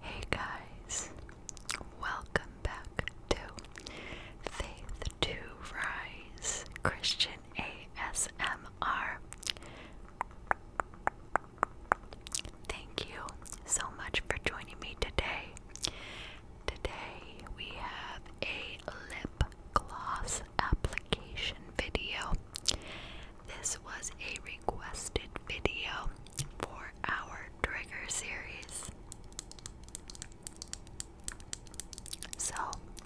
Hey guys, welcome back to Faith to Rise Christian ASMR. Thank you so much for joining me today. Today we have a lip gloss application video. This was a requested video for our trigger series. So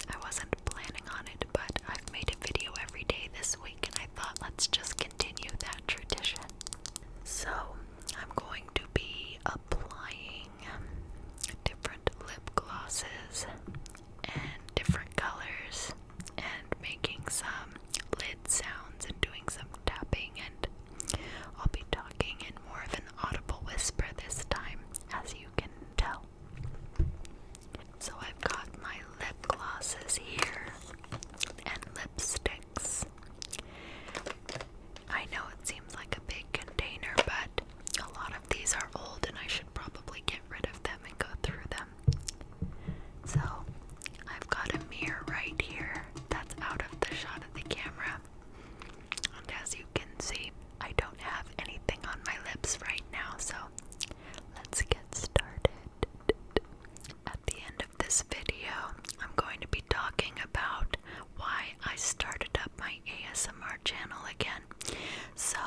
I wasn't planning on it, but I've made a video every day this week, and I thought let's just continue that tradition. So I'm going to be applying different lip glosses and different colors and making some lid sounds and doing some tapping and I'll be talking in more of an audible whisper this time as you can tell so I've got my lip glosses here and lipsticks. I know it seems like a big container, but a lot of these are old and I should probably get rid of them and go through them. So I've got a mirror right here that's out of the shot of the camera. And as you can see, I don't have anything on my lips right now, so let's get started. At the end of this video, I'm going to be talking about why I started up my ASMR channel again. So,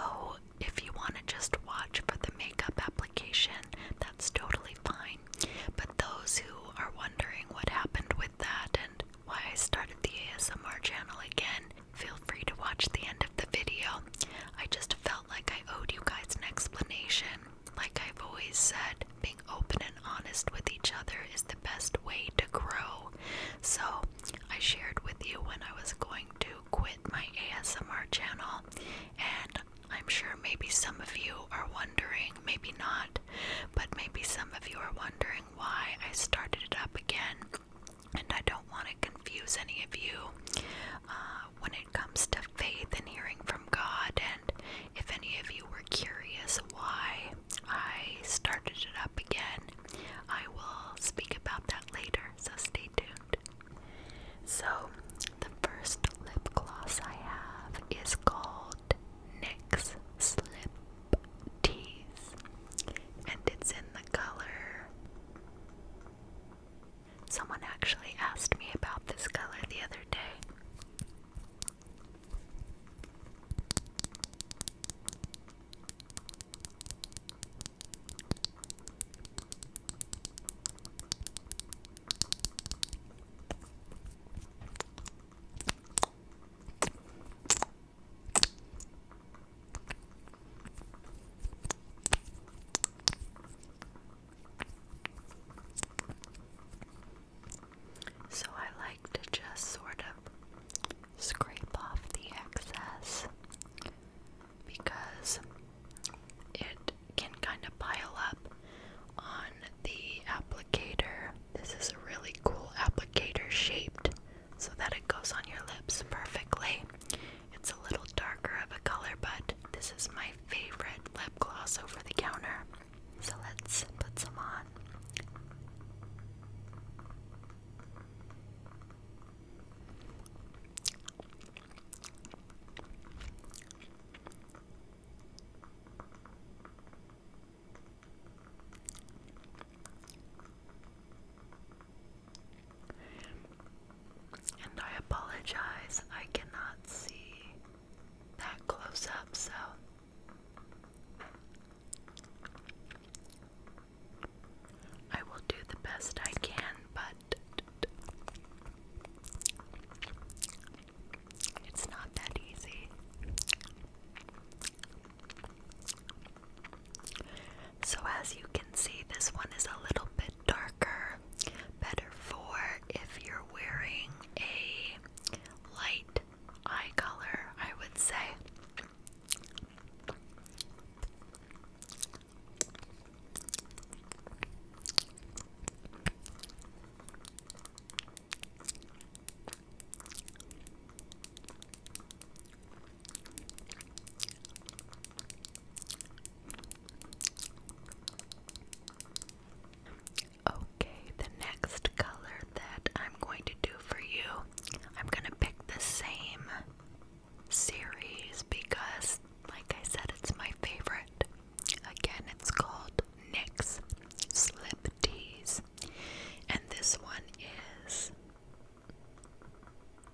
if you want to just watch for the makeup application, that's totally fine. But those who are wondering what happened with that and why I started the ASMR channel again, Feel free to watch the end of the video. I just felt like I owed you guys an explanation. Like I've always said, being open and honest with each other is the best way to grow. So, I shared with you when I was going to quit my ASMR channel, and I'm sure maybe some of you are wondering, maybe not, but maybe some of you are wondering why I started it up again. And I don't want to confuse any of you uh, when it comes to faith and hearing from God. And if any of you were curious why I started it up again, I will speak about that later, so stay tuned. So, the first lip gloss I have is called NYX Slip Tease, and it's in the color Someone actually asked me about this color the other day. So I like to just sort of scrape off the excess because it can kind of pile up on the applicator. This is a really cool applicator shaped so that it goes on your lips perfectly. It's a little darker of a color, but this is my favorite lip gloss over the counter. So let's put some on. And I apologize, I cannot see that close up, so. I will do the best I can, but it's not that easy. So, as you can see, this one is a little bit darker, better for if you're wearing a light eye color, I would say. Okay, the next color that I'm going to do for you, I'm going to pick the same series because, like I said, it's my favorite. Again, it's called NYX Slip Tees, and this one is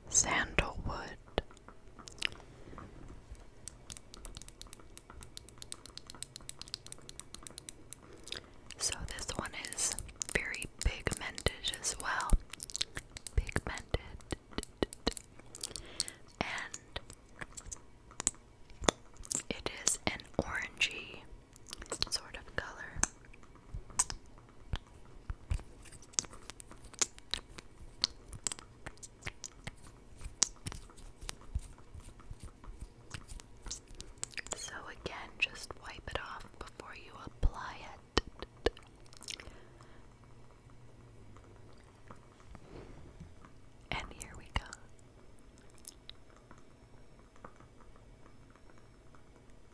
Sandalwood. So this one is very pigmented as well. Pigmented. And it is an orangey sort of color. So, again, just wipe it off before you apply it. And here we go.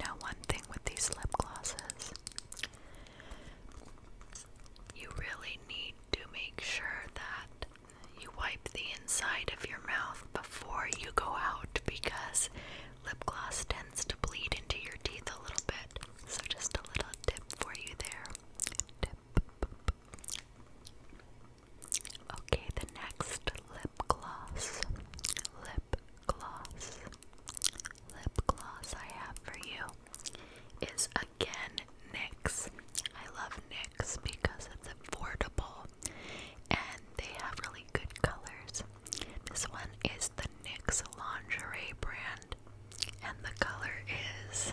Now, one thing with these lip glosses, you really need to make sure that you wipe the inside of your mouth before you go out because lip gloss tends to bleed into your teeth a little bit. So, just a little tip for you there. Tip. Okay, the next lip gloss. Lip gloss, lip gloss I have for you is again NYX. love NYX because it's affordable and they have really good colors. This one is the NYX lingerie brand and the color is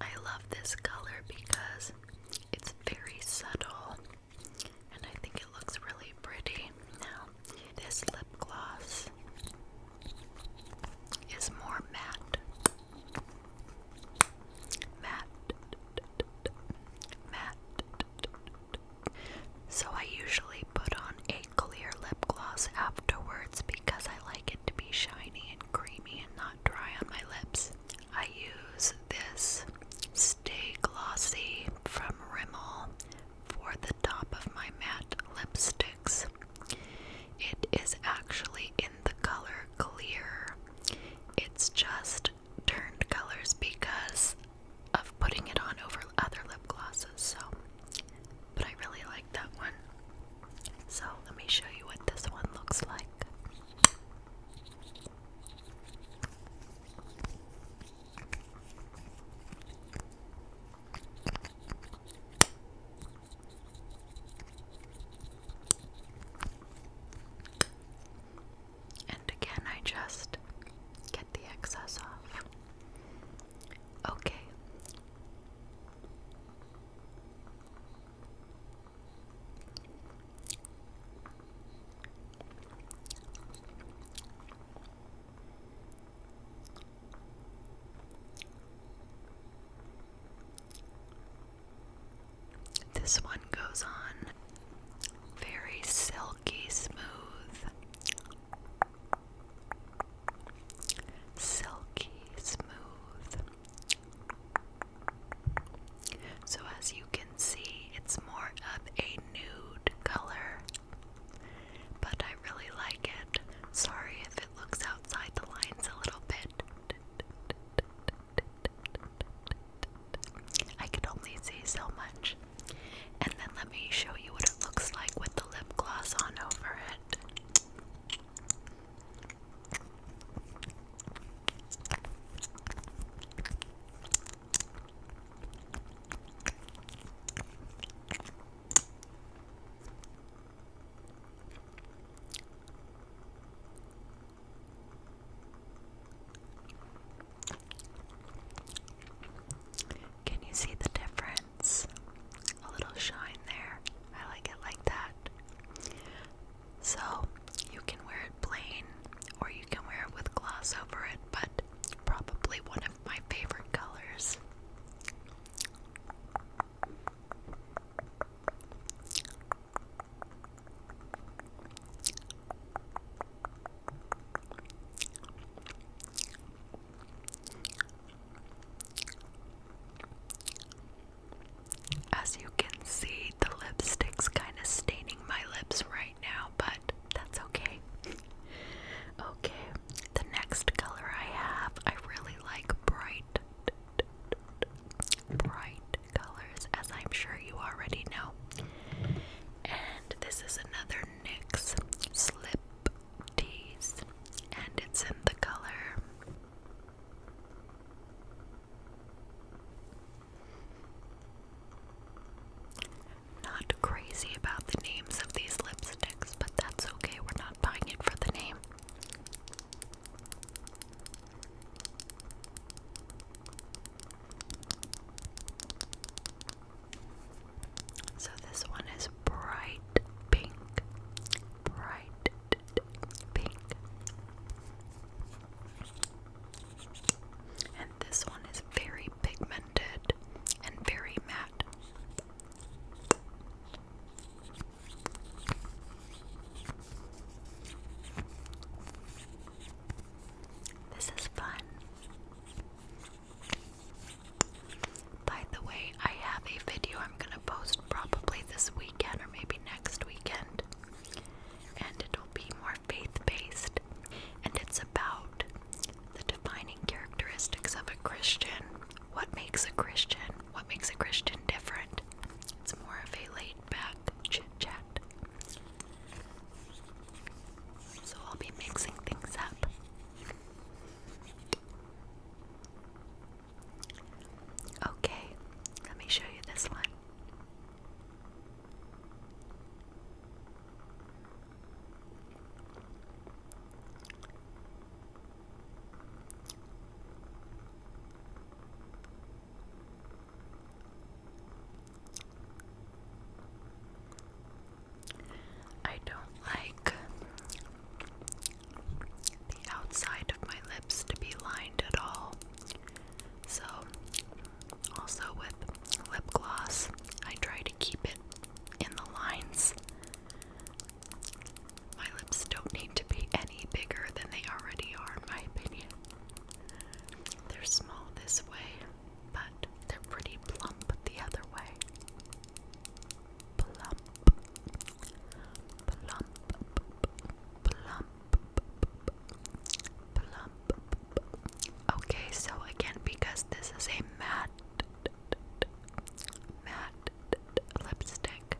I love this color because it's very subtle and I think it looks really pretty. Now, this lip gloss is more matte. Matte. Matte. So I usually put on a clear lip gloss afterwards because I like it to be shiny and creamy and not dry on my lips. I use this Stay Glossy from Rimmel for the top of my matte lipsticks. It is actually in the color clear. It's just turned colors because of putting it on over other lip glosses. So, but I really like that one. So, let me show you what this one looks like. And again, I just get the excess off. Okay. This one goes on very silky smooth. Silky smooth. So, as you can see, it's more of a nude color, but I really like it. Sorry if it looks outside the lines a little bit. I can only see so much. And then let me show you what it looks like with the lip gloss on over it. Can you see the difference? a little shine there. I like it like that. So you can wear it plain or you can wear it with gloss over it, but probably one of my favorite colors. As you can see, the lipstick's kind of staining my lips right now, but that's okay. okay, the next color I have, I really like bright, bright colors, as I'm sure you already know. And this is another NYX Slip Tease, and it's in the color not crazy about the names of these lipsticks, but that's okay, we're not buying it for the name. So this one is bright pink, bright pink. And this one is very pigmented and very matte. This is fun. By the way, I have a video I'm gonna post probably this weekend or maybe next weekend. And it'll be more faith based. And it's about the defining characteristics of a Christian. What makes a Christian? What makes a Christian different? It's more of a laid back chit chat. So I'll be mixing things up. Okay, let me show you this one. I don't like the outside of my lips to be lined at all. So, also with lip gloss, I try to keep it in the lines. My lips don't need to be any bigger than they already are, in my opinion. They're small this way, but they're pretty plump the other way. Plump. Okay, so again, because this is a matte, matte lipstick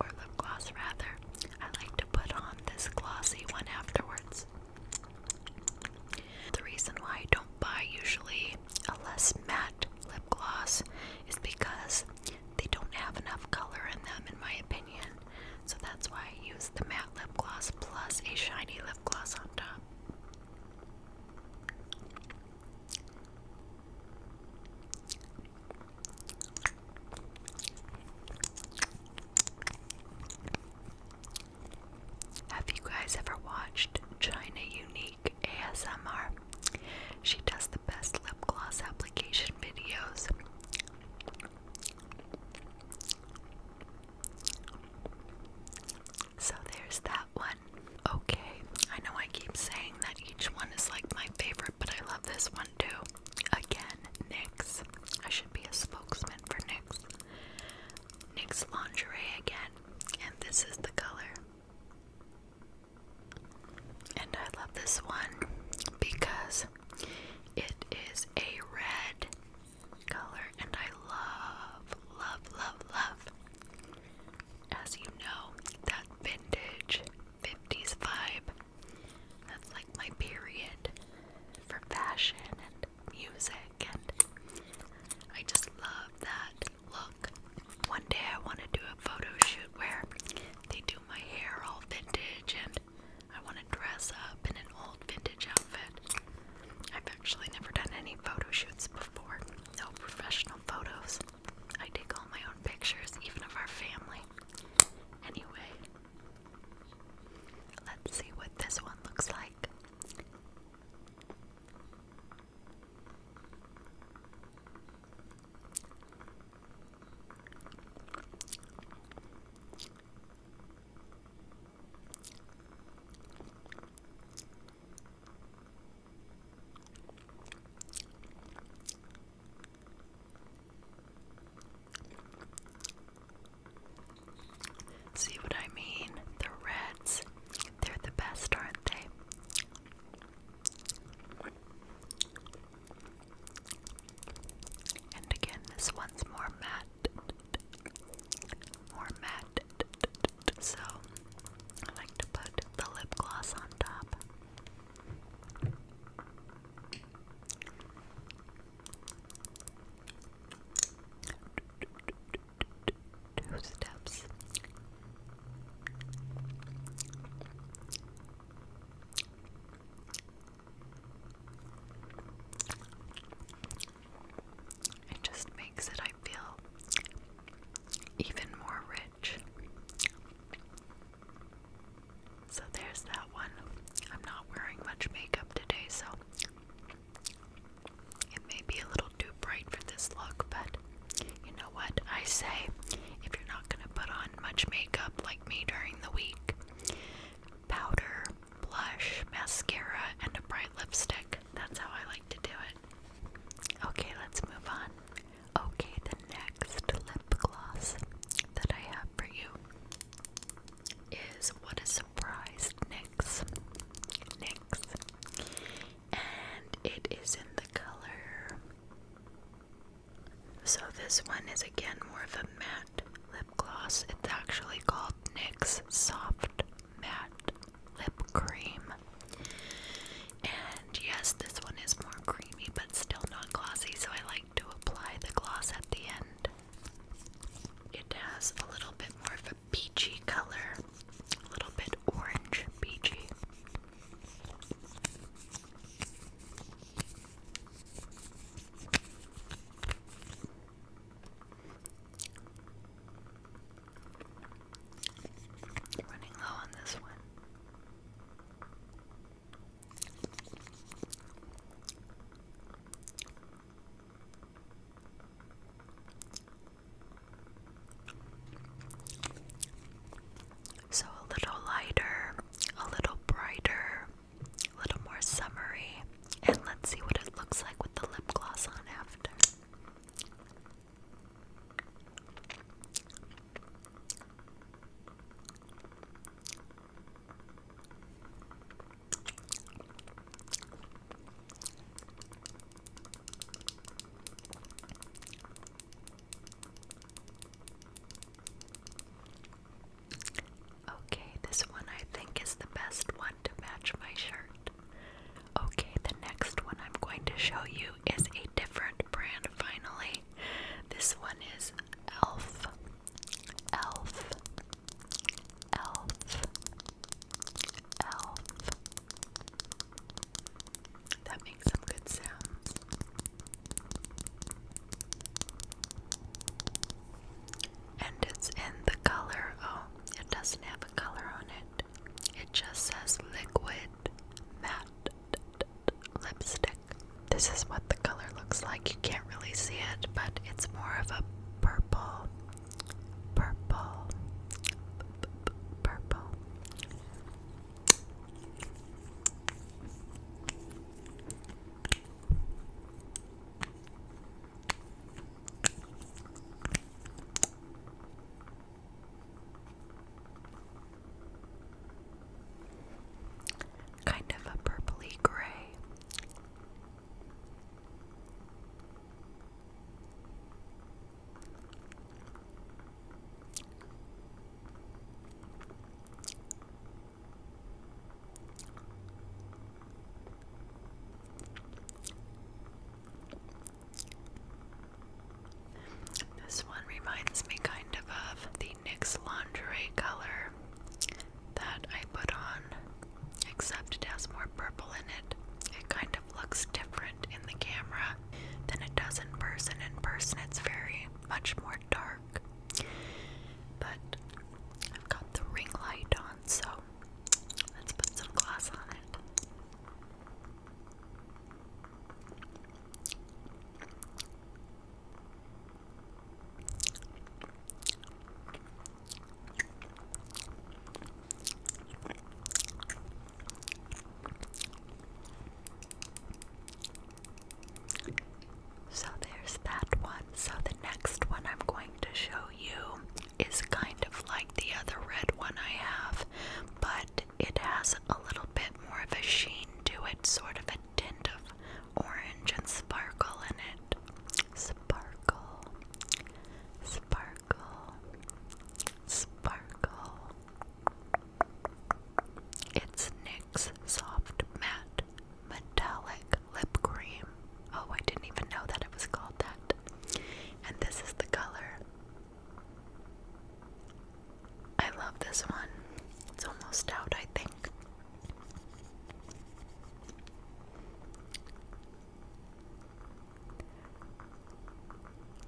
or lip gloss rather, I like to put on this glossy one afterwards. The reason why I don't buy usually a less matte lip gloss is because they don't have enough color in them, in my opinion. So that's why I use the matte lip gloss plus a shiny lip gloss on top. Have you guys ever watched China Unique ASMR? She does the best lip gloss application videos. So there's that one. Okay, I know I keep saying that each one is like my favorite, but I love this one too. Again, NYX. should be a spokesman for NYX. lingerie again, and this is the color. And I love this one because it is a red color and I love, love, love, love. As you know, that vintage 50s vibe. That's like my period for fashion and music and I just love that Look, one day I want to do a photo shoot where they do my hair all vintage and I want to dress up in an old vintage outfit. I've actually never done any photo shoots before, no professional photos. I take all my own pictures, even of our family. Anyway, let's see what this one looks like. See what I mean? The Reds. They're the best, aren't they? And again, this one's more matte, more matte, so I like to put the lip gloss on top. Two steps, it just makes it, I feel, even more rich. So there's that one. I'm not wearing much makeup today, so it may be a little too bright for this look, but you know what I say? If you're not gonna put on much makeup like me during the week, powder, blush, mascara, and a bright lipstick. That's how I like to do it. Okay, let's move on. Okay, the next lip gloss that I have for you is What a Surprise NYX. NYX and it is in the color. So, this one is again more of a matte lip gloss. It's actually called NYX Soft Matte Lip Cream. And yes, this one is more creamy but still not glossy, so I like to apply the gloss at the end. It has a little bit more of a peachy color, a little bit orange peachy. Running low on this one. So a little lighter, a little brighter, a little more summery, and let's see what it looks like with the lip gloss on after. Okay, this one I think is the best one to match my shirt. Okay, the next one I'm going to show you is a different brand finally. This one is Elf. Elf. Elf. Elf. That makes some good sounds. And it's in the color. Oh, it doesn't have a color on it. It just says liquid matte lipstick. This is what the color looks like. You can't really see it, but it's more of a purple, purple, purple Kind of a purpley gray. This one reminds me kind of of the NYX lingerie color that I put on, except it has more purple in it. It kind looks different in the camera than it does in person. In person, it's very much more dark. But I've got the ring light on, so let's put some glass on it. So there's that one. So the next one I'm going to show you is kind of like the other red one I have, but it has a little bit more of a sheen to it, sort of a tint of orange and sparkle in it. Sparkle, sparkle, sparkle, it's NYX Soft Matte Metallic Lip Cream. Oh, I didn't even know that it was called that. And this is the color. I love this one. It's almost out, I think.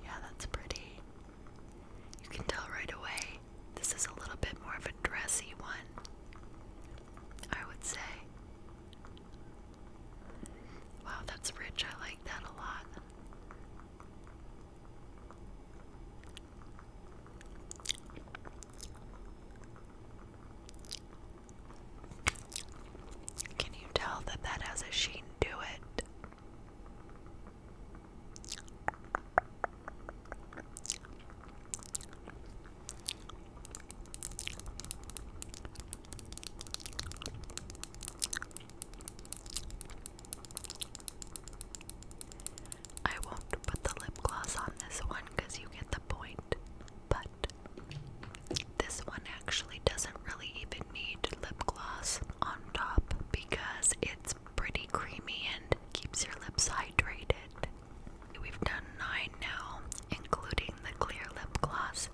Yeah, that's pretty. You can tell right away this is a little bit more of a dressy one, I would say. Wow, that's rich. I like that a lot. Can you tell that that has a sheen to it? I won't put the lip gloss on this one because you get the point, but this one actually doesn't really even need lip gloss on top because it's pretty creamy and keeps your lips hydrated. We've done nine now, including the clear lip gloss.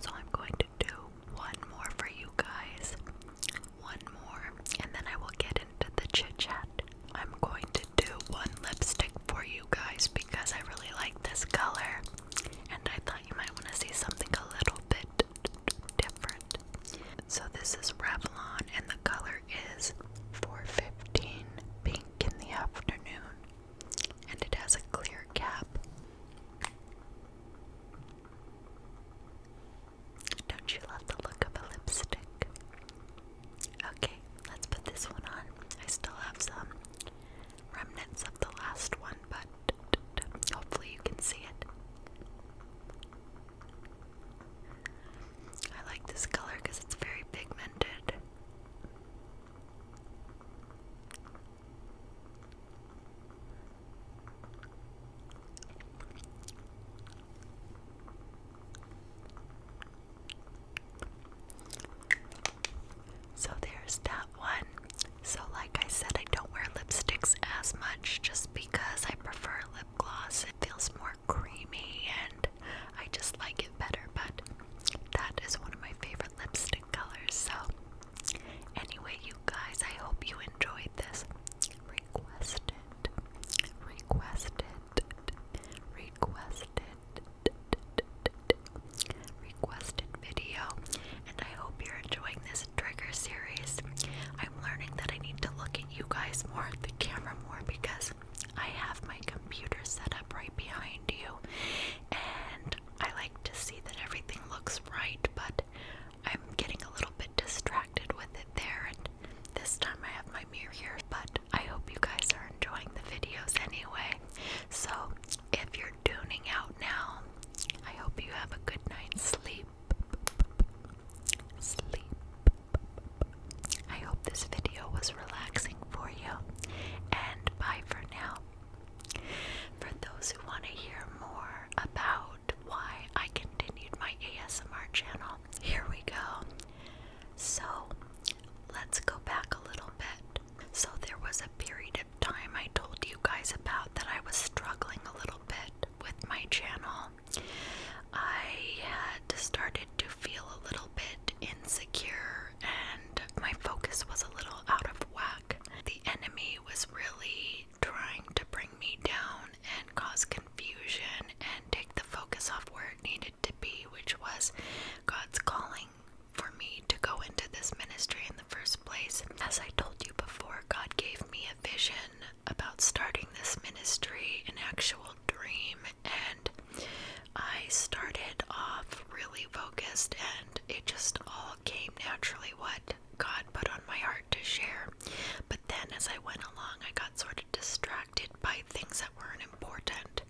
So I'm going to do one more for you guys. One more, and then I will get into the chit chat. I'm going to do one lipstick for you guys because I really like this color and I thought you might want to see something a little bit different. So this is Revlon and the color is 415 pink in the afternoon and it has a clear cap. Don't you love the look of a lipstick? Okay, let's put this one on. I still have some remnants of the last one but hopefully you can see it. I like this color because it's very pigmented. So there's that that one. So, like I said, I don't wear lipsticks as much just because I prefer lip gloss. It feels more creamy and I just like it better, but that is one of my favorite lipstick colors. So, anyway, you guys, I hope you enjoyed this. Requested, requested, requested, requested, requested video, and I hope you're enjoying this trigger series. I'm learning that I need to look at you guys more, the camera more, because I have my computer set up right behind you, and I like to see that everything looks right, but I'm getting a little bit distracted with it there, and this time I have my mirror here, but I hope you guys are enjoying the videos anyway. So, if you're tuning out now, I hope you have a good night's sleep. Sleep. I hope this video was relaxing for you. And bye for now. For those who want to hear more about why I continued my ASMR channel, here we go. So, let's go back a little bit. So, there was a period time I told you guys about that I was struggling a little bit with my channel. I had started to feel a little bit insecure and my focus was a little out of whack. The enemy was really trying to bring me down and cause confusion and take the focus off where it needed to be, which was God's calling for me to go into this ministry in the first place. As I told you before, God gave me a vision about starting this ministry, an actual dream, and I started off really focused, and it just all came naturally what God put on my heart to share. But then as I went along, I got sort of distracted by things that weren't important.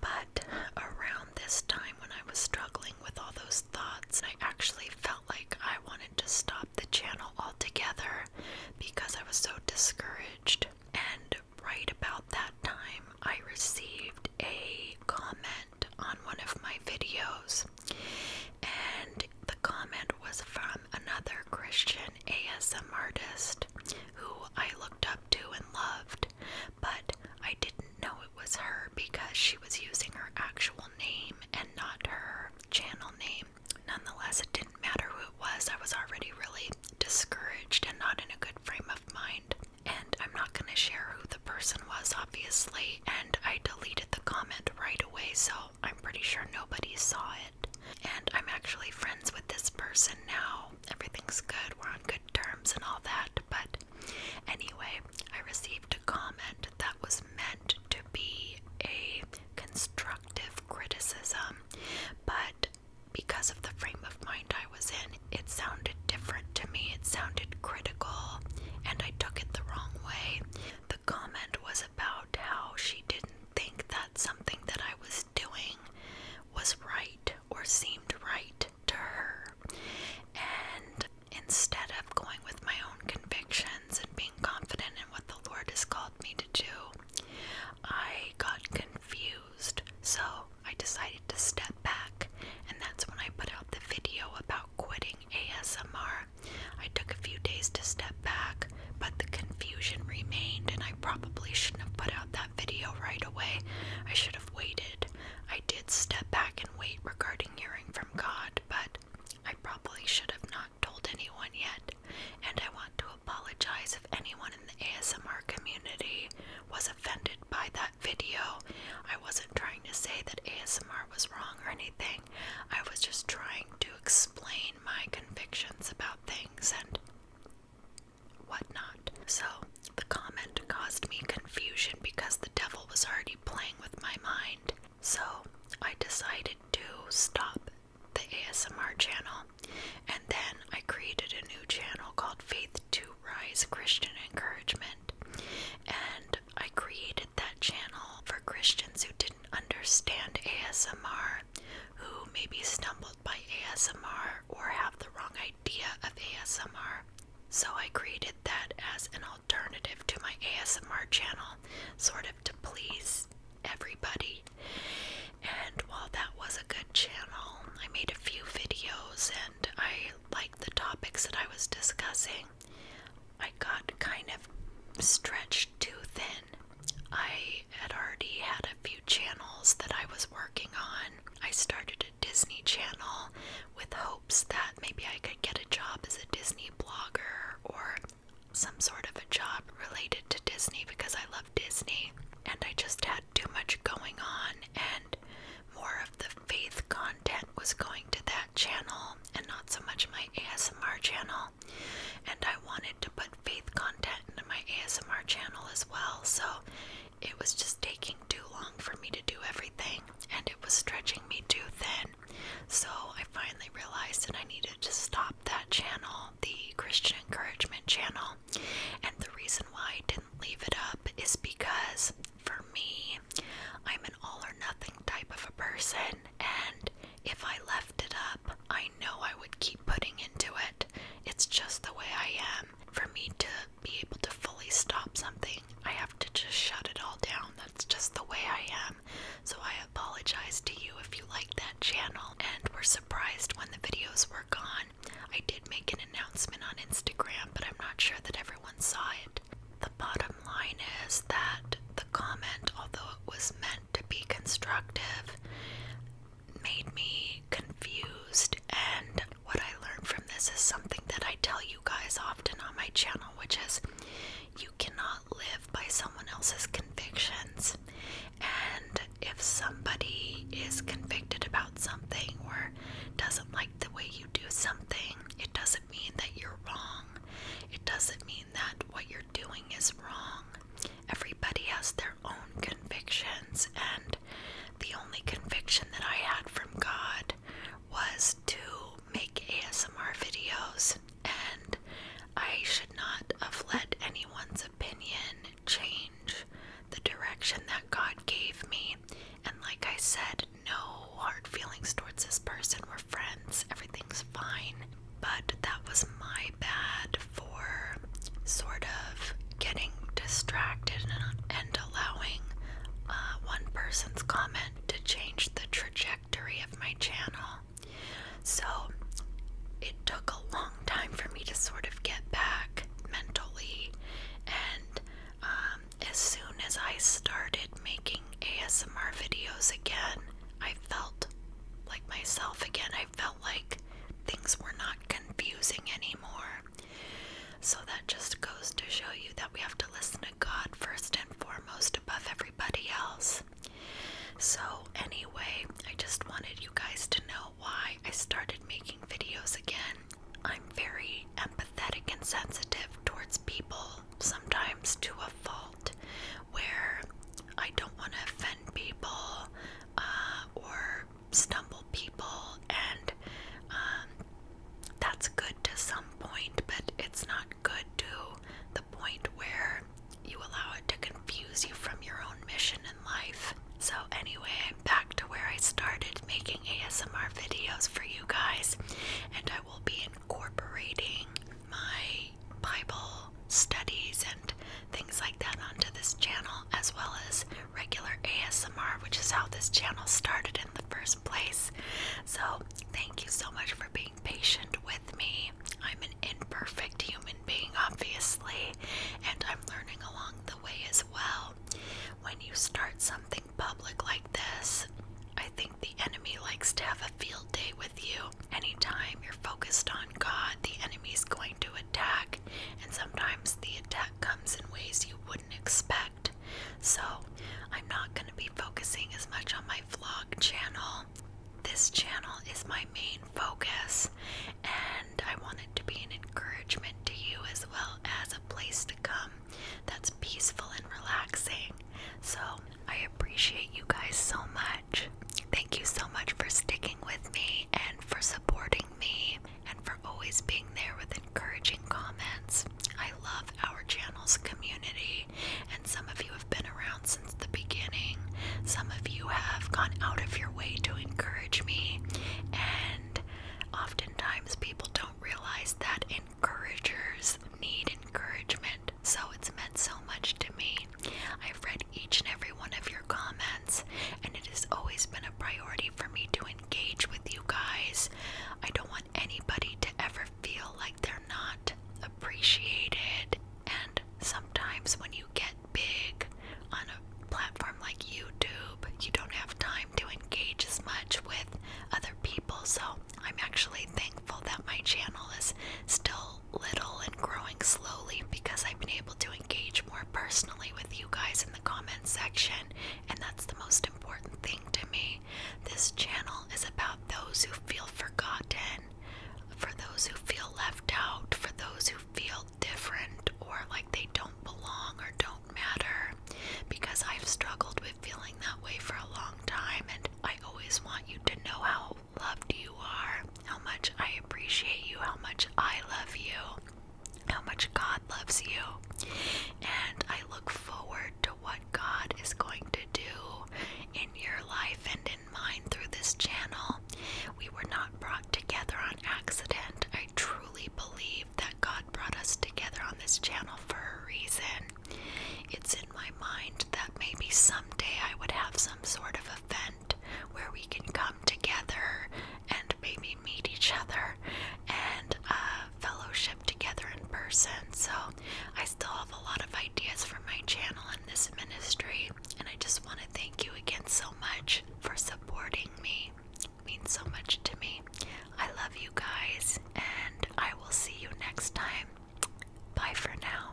But around this time, when I was struggling with all those thoughts. I actually felt like I wanted to stop the channel altogether because I was so discouraged. And right about that time, I received a comment on one of my videos, and the comment was from another Christian ASM artist who I looked up to and loved, but I didn't know was her because she was using her actual name and not her channel name. Nonetheless, it didn't matter who it was. I was already really discouraged and not in a good frame of mind. And I'm not going to share who the person was, obviously. And I deleted the comment right away, so I'm pretty sure nobody saw it. And I'm actually friends with this person now. Everything's good, we're on good terms and all that. But Anyway, I received a comment that was meant to be a constructive criticism, but because of the frame of mind I was in, it sounded different to me. It sounded critical, and I took it the wrong way. The comment was about how she didn't think that something that I was doing was right or seemed right to her. And instead of going with my own convictions and being confident in what the Lord has called me to do, I got confused. So I decided to step back, and that's when I put out the video about quitting ASMR. I took a few days to step back, but the confusion remained, and I probably shouldn't have put out that video right away. I should have waited. I did step back and wait regarding hearing from God, but I probably should have not told anyone yet, and I want to apologize if anyone in the ASMR community was offended by that video. I wasn't trying to say that ASMR was wrong or anything, I was just trying to explain my convictions about things and whatnot. So, the comment caused me confusion because the devil was already playing with my mind. So I decided to stop the ASMR channel and then I created a new channel called Faith to Rise Christian Encouragement. And I created that channel for Christians who didn't understand ASMR, who maybe stumbled by ASMR or have the wrong idea of ASMR. So I created that as an alternative to my ASMR channel, sort of to please everybody. And while that was a good channel, I made a few videos and I liked the topics that I was discussing. I got kind of stretched too thin. I had already had a few channels that I was working on I started a Disney channel with hopes that maybe I could get a job as a Disney blogger or some sort of a job related to Disney because I love Disney. And I just had too much going on, and more of the faith content was going to that channel and not so much my ASMR channel. And I wanted to put faith content into my ASMR channel as well, so it was just taking too long for me to do everything, and it was stretching me too thin. So I finally realized that I needed to stop that channel, the Christian Encouragement channel. And the reason why I didn't leave it up is because for me, I'm an all or nothing type of a person, and if I left it up, I know I would keep putting into it. It's just the way I am. Um, for me to be able to fully stop something, I have to just shut it all down. That's just the way I am. So I apologize to you if you liked that channel and were surprised when the videos were gone. I did make an announcement on Instagram, but I'm not sure that everyone saw it. The bottom line is that the comment, although it was meant to be constructive, made me confused and what I learned from this is something that I tell you guys often on my channel, which is you cannot live by someone else's convictions. And if somebody is convicted about something or doesn't like the way you do something, it doesn't mean that you're wrong. It doesn't mean that what you're doing is wrong. Everybody has their own convictions, and the only conviction that I had from God was to make ASMR videos, and I should not have let anyone's opinion change the direction that God gave me. And like I said, no hard feelings towards this person. We're friends, everything's fine. But that was my bad for sort of getting distracted and, and allowing uh, one person's comment to change the trajectory of my channel. So it took a long time for me to sort of get back mentally, and um, as soon as I started making ASMR videos again, I felt like myself again. I felt like things were not confusing anymore. So that just goes to show you that we have to listen to God first and foremost above everybody else. So, anyway, I just wanted you guys to know why I started making videos again. I'm very empathetic and sensitive towards people, sometimes to a fault, where I don't want to offend people uh, or stumble people, and um, that's good to some point, but it's not good to the point where you allow it to confuse you from your own mission in life. So, anyway, I'm back to where I started making ASMR videos for you guys, and I will be incorporating my Bible studies and things like that onto this channel, as well as regular ASMR, which is how this channel started in the first place. So, thank you so much for being patient with me. I'm an imperfect human being, obviously, and I'm learning along the way as well. When you start something public like this, I think the enemy likes to have a field day with you. Anytime you're focused on God, the enemy's going to attack, and sometimes the attack comes in ways you wouldn't expect. So, I'm not going to be focusing as much on my vlog channel. This channel is my main focus, and I want it to be an encouragement to you as well as a place to come that's peaceful and relaxing. So, I appreciate you guys so much. Thank you so much for sticking with me and for supporting me and for always being there with encouraging comments. I love our channel's community, and some of you have been around since the beginning. Some of you have gone out of your way to encourage me, and oftentimes people don't realize that encouragers need encouragement, so it's meant so much to me. I've read each and every one of your comments, and it has always been a priority for me to engage with you guys. I don't want anybody to ever feel like they're not appreciated. And sometimes when you get big on a platform like YouTube, you don't have time to engage as much with other people. So I'm actually thankful that my channel is still little and growing slowly because I've been able to engage more personally with you guys in the comments section and that's the most important thing to me. This channel is about those who feel forgotten, for those who feel left out, for those who feel different or like they don't belong or don't matter. Because I've struggled with feeling that way for a long time, and I always want you to know how loved you are, how much I appreciate you, how much I love you how much God loves you. And I look forward to what God is going to do in your life and in mine through this channel. We were not brought together on accident. I truly believe that God brought us together on this channel for a reason. It's in my mind that maybe someday I would have some sort of event where we can come together and maybe meet each other and uh, fellowship together in person. So I still have a lot of ideas for my channel and this ministry, and I just want to thank you again so much for supporting me. means so much to me. I love you guys, and I will see you next time. Bye for now.